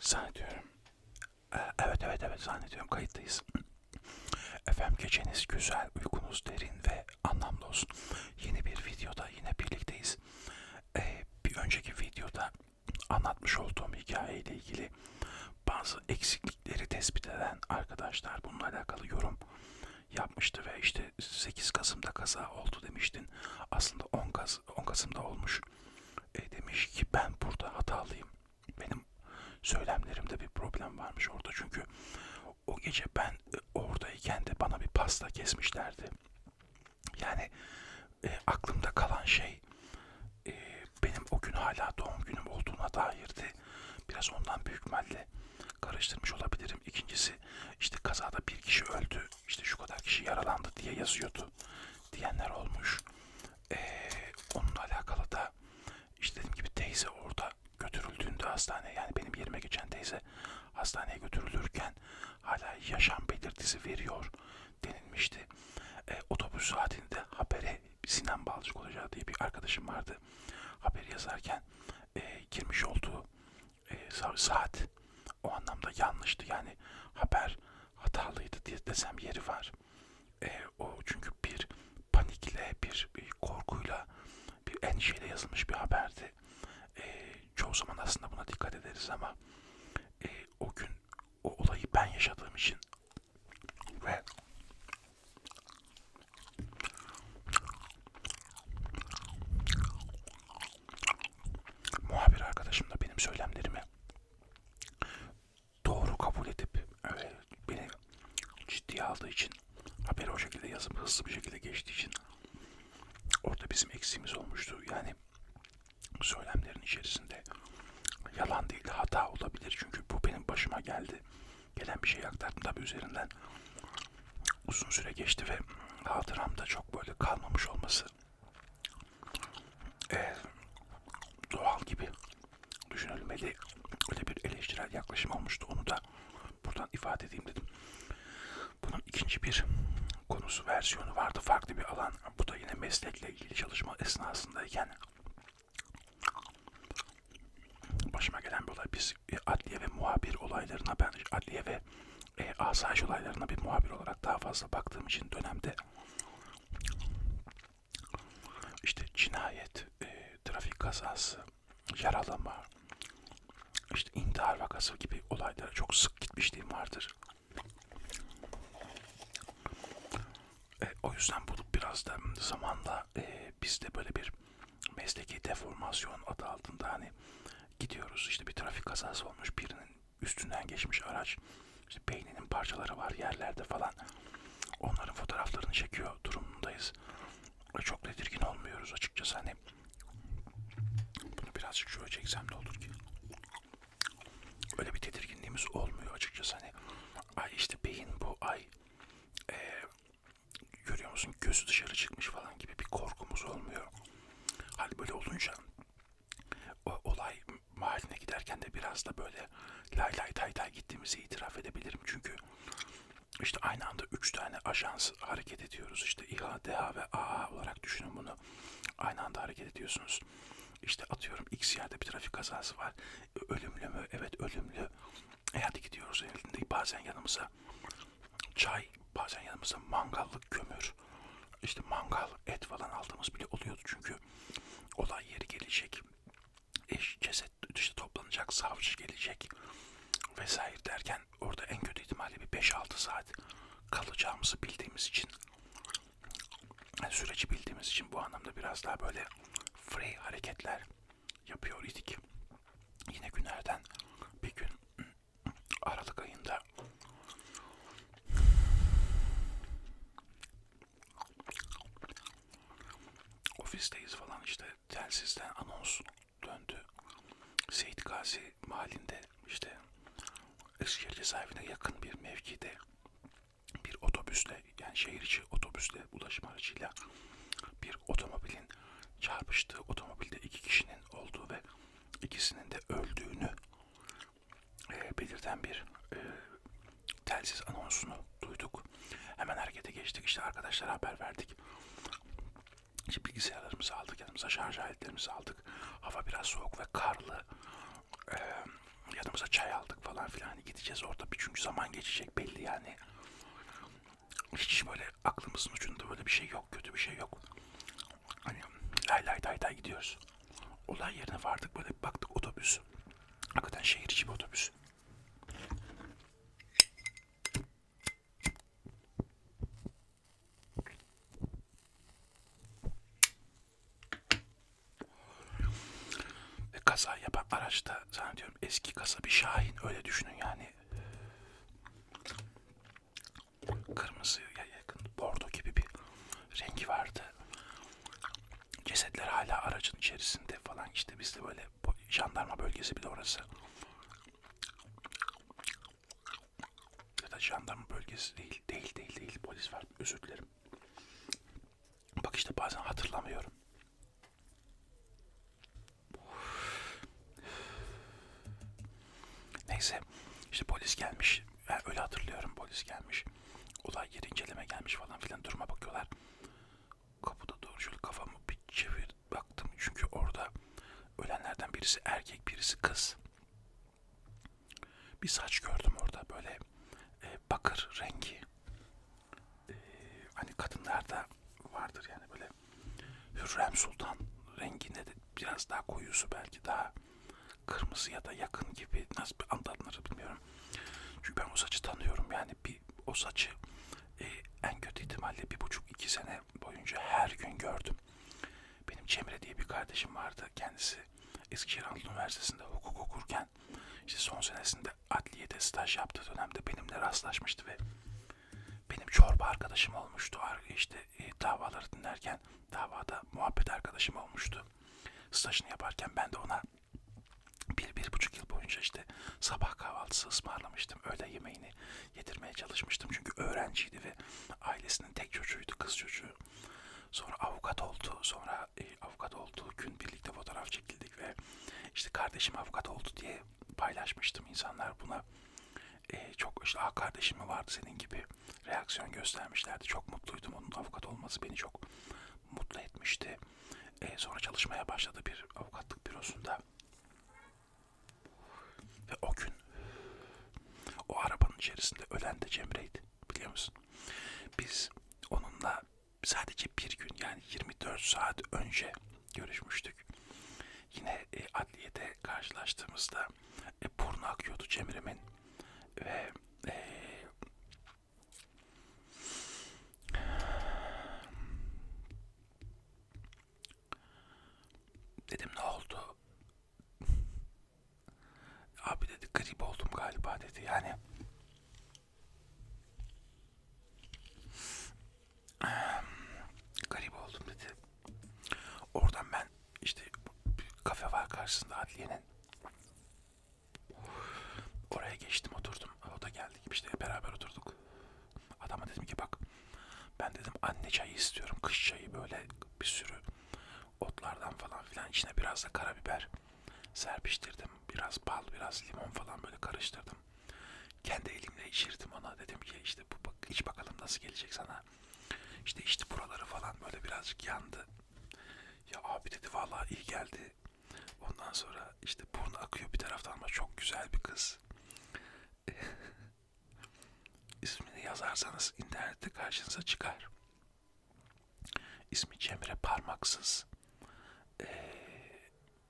Zannediyorum. Ee, evet evet evet zannediyorum kayıttayız. Efendim geceniz güzel, uykunuz derin ve anlamlı olsun. Yeni bir videoda yine birlikteyiz. Ee, bir önceki videoda anlatmış olduğum hikayeyle ilgili bazı eksiklikleri tespit eden arkadaşlar bununla alakalı yorum yapmıştı ve işte 8 Kasım'da kaza oldu demiştin. Aslında 10, Kas 10 Kasım'da olmuş e, demiş ki ben burada hatalıyım. Benim söylemlerimde bir problem varmış orada çünkü o gece ben e, oradayken de bana bir pasta kesmişlerdi. Yani e, aklımda kalan şey e, benim o gün hala doğum günüm olduğuna dairdi. Biraz ondan büyük ihtimalle karıştırmış olabilirim. İkincisi işte kazada bir kişi öldü, işte şu kadar kişi yaralandı diye yazıyordu diyenler olmuş. Ee, onunla alakalı da işte dediğim gibi teyze orada götürüldüğünde hastaneye yani benim yerime geçen teyze hastaneye götürülürken hala yaşam belirtisi veriyor denilmişti. Ee, otobüs saatinde habere Sinan Balcık olacağı diye bir arkadaşım vardı. Haberi yazarken e, girmiş olduğu e, saat o anlamda yanlıştı yani haber hatalıydı diye desem yeri var. E, o çünkü bir panikle, bir, bir e, korkuyla, bir endişeyle yazılmış bir haberdi. E, çoğu zaman aslında buna dikkat ederiz ama e, o gün o olayı ben yaşadığım için ve muhabir arkadaşım da benim söylemlerimi doğru kabul edip öyle beni ciddiye aldığı için haberi o şekilde yazıp hızlı bir şekilde geçtiği için orada bizim eksiğimiz olmuştu. Yani söylemlerin içerisinde yalan değil hata olabilir. Çünkü bu benim başıma geldi. Gelen bir şey aktardım tabii üzerinden uzun süre geçti ve hatıramda çok böyle kalmamış olması e, doğal gibi düşünelim. Öyle, öyle bir eleştirel yaklaşım olmuştu. Onu da buradan ifade edeyim dedim. Bunun ikinci bir konusu versiyonu vardı. Farklı bir alan. Bu da yine meslekle ilgili çalışma esnasındayken başıma gelen bir olay. Biz adliye ve muhabir olaylarına ben adliye ve e, asayiş olaylarına bir muhabir olarak daha fazla baktığım için dönemde işte cinayet, e, trafik kazası, yaralama, işte intihar vakası gibi olaylara çok sık gitmişliğim vardır. E, o yüzden bu biraz da zamanla e, bizde böyle bir mesleki deformasyon adı altında hani Gidiyoruz işte bir trafik kazası olmuş birinin üstünden geçmiş araç. İşte beyninin parçaları var yerlerde falan. Onların fotoğraflarını çekiyor durumundayız. Çok tedirgin olmuyoruz açıkçası hani. Bunu birazcık şöyle çeksem ne olur ki? Öyle bir tedirginliğimiz olmuyor açıkçası hani. Ay işte beyin bu ay. Ee, görüyor musun gözü dışarı çıkmış falan gibi bir korkumuz olmuyor. Hal böyle olunca o, olay mahalline giderken de biraz da böyle lay lay tay tay gittiğimizi itiraf edebilirim. Çünkü işte aynı anda üç tane ajans hareket ediyoruz. İşte İHA, DHA ve AA olarak düşünün bunu. Aynı anda hareket ediyorsunuz. İşte atıyorum X yerde bir trafik kazası var. Ölümlü mü? Evet ölümlü. E hadi gidiyoruz elinde. Bazen yanımıza çay, bazen yanımızda mangallık kömür, işte mangal, et falan aldığımız bile oluyordu. Çünkü olay yeri gelecek, eş, ceset işte toplanacak, savcı gelecek vesaire derken orada en kötü ihtimalle bir 5-6 saat kalacağımızı bildiğimiz için yani süreci bildiğimiz için bu anlamda biraz daha böyle free hareketler yapıyor idik. Yine günlerden bir gün Aralık ayında ofisteyiz falan işte telsizden anons döndü. Seyit Gazi mahallinde işte Eskişehir cezaevine yakın bir mevkide bir otobüsle yani şehir içi otobüsle ulaşım aracıyla bir otomobilin çarpıştığı otomobilde iki kişinin olduğu ve ikisinin de öldüğünü e, belirten bir e, telsiz anonsunu duyduk. Hemen harekete geçtik. İşte arkadaşlara haber verdik. İşte bilgisayarlarımızı aldık, yanımıza şarj aletlerimizi aldık. Hava biraz soğuk ve karlı. Ee, yanımıza çay aldık falan filan. Hani gideceğiz orada bir çünkü zaman geçecek belli yani hiç böyle aklımızın ucunda böyle bir şey yok, kötü bir şey yok. Hani lay lay day day gidiyoruz. Olay yerine vardık böyle baktık otobüs. Hakikaten şehir içi bir otobüs. Ve kaza yapan araçta zannediyorum eski kasa bir Şahin öyle düşünün yani kırmızıya yakın bordo gibi bir rengi vardı. Cesetler hala aracın içerisinde falan işte biz de böyle jandarma bölgesi bile orası. Ya da jandarma bölgesi değil, değil, değil, değil. Polis var. Özür dilerim. Bak işte bazen hatırlamıyorum. Neyse işte polis gelmiş. Yani öyle hatırlıyorum polis gelmiş. Olay yeri inceleme gelmiş falan filan duruma bakıyorlar. Kapıda doğru şöyle kafamı bir çevir baktım. Çünkü orada ölenlerden birisi erkek birisi kız. Bir saç gördüm orada böyle e, bakır rengi. E, hani kadınlarda vardır yani böyle Hürrem Sultan renginde de biraz daha koyusu belki daha kırmızı ya da yakın gibi nasıl bir anlatılır bilmiyorum. Çünkü ben o saçı tanıyorum yani bir o saçı e, en kötü ihtimalle bir buçuk iki sene boyunca her gün gördüm. Benim Cemre diye bir kardeşim vardı kendisi Eskişehir Anadolu Üniversitesi'nde hukuk okurken işte son senesinde adliyede staj yaptığı dönemde benimle rastlaşmıştı ve benim çorba arkadaşım olmuştu. İşte e, davaları dinlerken davada muhabbet arkadaşım olmuştu. Stajını yaparken ben de ona bir, bir buçuk yıl boyunca işte sabah kahvaltısı ısmarlamıştım. Öğle yemeğini yedirmeye çalışmıştım. Çünkü öğrenciydi ve ailesinin tek çocuğuydu, kız çocuğu. Sonra avukat oldu. Sonra e, avukat olduğu gün birlikte fotoğraf çekildi evlilik ve işte kardeşim avukat oldu diye paylaşmıştım. İnsanlar buna e, çok işte ah kardeşim mi vardı senin gibi reaksiyon göstermişlerdi. Çok mutluydum onun avukat olması beni çok mutlu etmişti. E, sonra çalışmaya başladı bir avukatlık bürosunda. Ve o gün o arabanın içerisinde ölen de Cemre'ydi biliyor musun? Biz onunla sadece bir gün yani 24 saat önce görüşmüştük. Yine e, adliyede karşılaştığımızda e, burnu akıyordu Cemre'min ve e, dedim ne oldu? Abi dedi grip oldum galiba dedi yani garip oldum dedi. Oradan ben işte bir kafe var karşısında adliyenin. Oraya geçtim oturdum. O da geldi işte beraber oturduk. Adama dedim ki bak ben dedim anne çayı istiyorum. Kış çayı böyle bir sürü otlardan falan filan içine biraz da karabiber serpiştirdim. Biraz bal, biraz limon falan böyle karıştırdım. Kendi elimle içirdim ona. Dedim ki işte bu bak, iç bakalım nasıl gelecek sana. İşte işte buraları falan böyle birazcık yandı. Ya abi dedi vallahi iyi geldi. Ondan sonra işte burnu akıyor bir taraftan ama çok güzel bir kız. İsmini yazarsanız internette karşınıza çıkar. İsmi Cemre Parmaksız. Ee,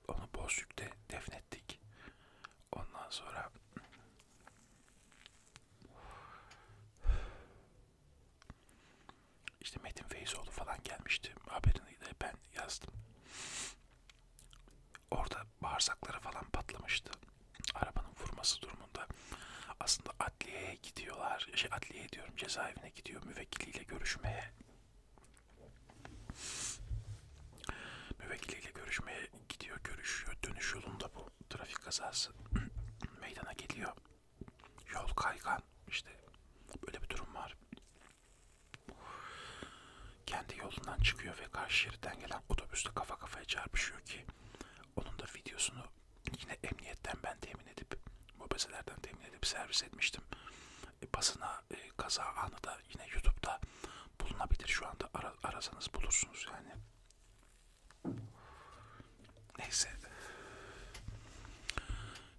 onu Bozüyük'te defnettik. Ondan sonra işte Metin Feyzoğlu falan gelmişti. Haberini de ben yazdım. Orada bağırsakları falan patlamıştı. Arabanın vurması durumunda. Aslında adliyeye gidiyorlar. Şey adliyeye diyorum cezaevine gidiyor müvekkiliyle görüşmeye. Müvekkiliyle görüşmeye gidiyor, görüşüyor. Dönüş yolunda bu trafik kazası meydana geliyor. Yol kaygan. İşte böyle bir durum var. Kendi yolundan çıkıyor ve karşı şeritten gelen otobüsle kafa kafaya çarpışıyor ki onun da videosunu yine emniyetten ben temin edip mobeselerden temin edip servis etmiştim. E, basına e, kaza anı da yine YouTube'da bulunabilir şu anda Ara, arasanız bulursunuz yani. Neyse.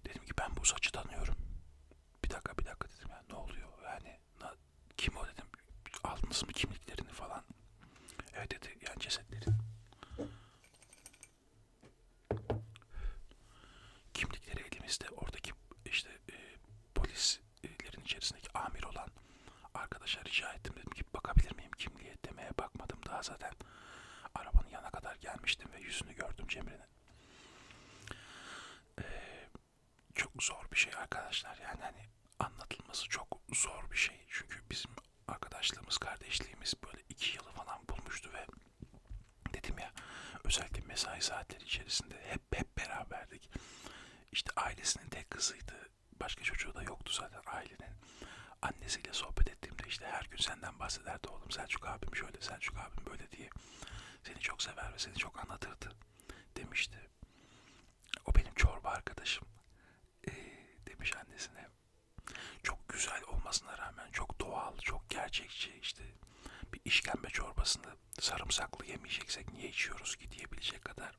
Dedim ki ben bu saçı tanıyorum. Bir dakika bir dakika dedim ya ne oluyor yani na, kim o dedim aldınız mı kimliklerini falan. Evet dedi yani cesetleri. Kimlikleri elimizde oradaki işte e, polislerin içerisindeki amir olan arkadaşa rica ettim dedim ki bakabilir miyim kimliğe demeye bakmadım daha zaten arabanın yana kadar gelmiştim ve yüzünü gördüm Cemre'nin. E, çok zor bir şey arkadaşlar yani hani anlatılması çok zor bir şey çünkü bizim arkadaşlığımız, kardeşliğimiz böyle iki yılı falan bulmuştu ve dedim ya özellikle mesai saatleri içerisinde hep hep beraberdik. İşte ailesinin tek kızıydı. Başka çocuğu da yoktu zaten ailenin. Annesiyle sohbet ettiğimde işte her gün senden bahsederdi oğlum Selçuk abim şöyle Selçuk abim böyle diye. Seni çok sever ve seni çok anlatırdı demişti. O benim çorba arkadaşım e, demiş annesine çok güzel olmasına rağmen çok doğal, çok gerçekçi işte bir işkembe çorbasını sarımsaklı yemeyeceksek niye içiyoruz ki diyebilecek kadar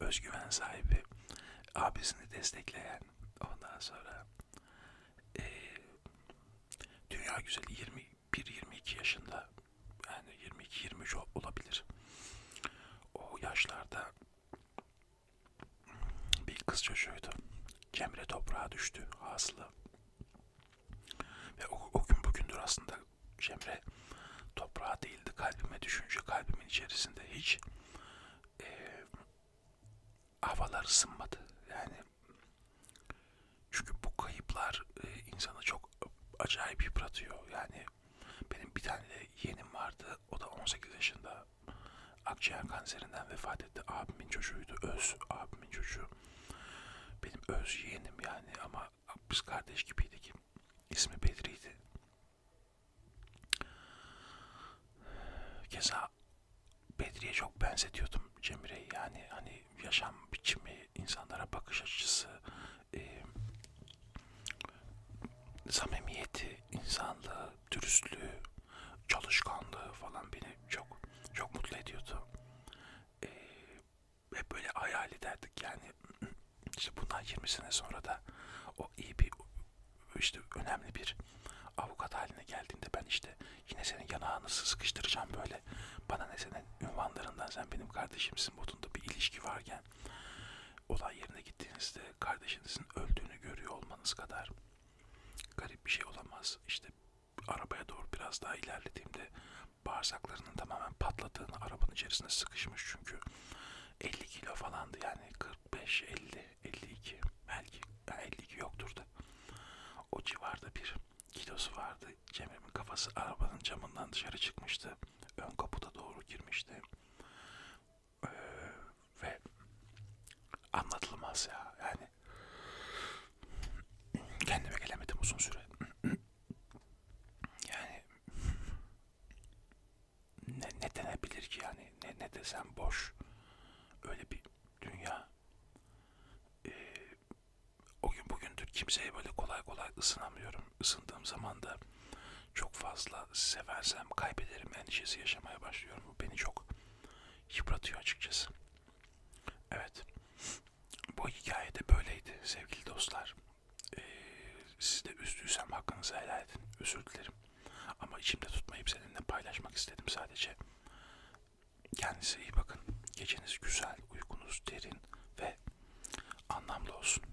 özgüven sahibi abisini destekleyen ondan sonra e, dünya güzeli 21-22 yaşında yani 22-23 olabilir o yaşlarda bir kız çocuğuydu. Cemre toprağa düştü hasılı. Ve o, o gün bugündür aslında Cemre toprağa değildi. Kalbime düşünce kalbimin içerisinde hiç e, havalar ısınmadı. Yani çünkü bu kayıplar e, insanı çok acayip yıpratıyor. Yani benim bir tane yeğenim vardı. O da 18 yaşında akciğer kanserinden vefat etti. Abimin çocuğuydu. Öz abimin çocuğu. Benim öz yeğenim yani ama biz kardeş gibiydik. İsmi Bedri'ydi. Keza Bedri'ye çok benzetiyordum Cemire'yi. Yani hani yaşam biçimi, insanlara bakış açısı, e, samimiyeti, insanlığı, dürüstlüğü, çalışkanlığı falan beni çok çok mutlu ediyordu. Ee, hep böyle hayal ederdik yani işte bundan 20 sene sonra da o iyi bir işte önemli bir avukat haline geldiğinde ben işte yine senin yanağını sıkıştıracağım böyle bana ne senin ünvanlarından sen benim kardeşimsin modunda bir ilişki varken yerine olay yerine gittiğinizde kardeşinizin öldüğünü görüyor olmanız kadar garip bir şey olamaz. İşte arabaya doğru biraz daha ilerlediğimde bağırsaklarının tamamen patladığını arabanın içerisinde sıkışmış çünkü 50 kilo falandı yani 45 50 52 belki 52 yoktur da o civarda bir kilosu vardı. Cemre'nin kafası arabanın camından dışarı çıkmıştı. Ön kaputa doğru girmişti ee, ve anlatılmaz ya yani kendime gelemedim uzun süre yani ne, ne denebilir ki yani ne, ne desem boş öyle bir dünya ee, o gün bugündür kimseye böyle kolay kolay ısınamıyorum ısındığım zaman da çok fazla seversem kaybederim endişesi yaşamaya başlıyorum. Bu beni çok yıpratıyor açıkçası. Evet. Bu hikaye de böyleydi sevgili dostlar. Ee, sizi de üzdüysem hakkınızı helal edin. Özür dilerim. Ama içimde tutmayıp seninle paylaşmak istedim sadece. Kendinize iyi bakın. Geceniz güzel, uykunuz derin ve anlamlı olsun.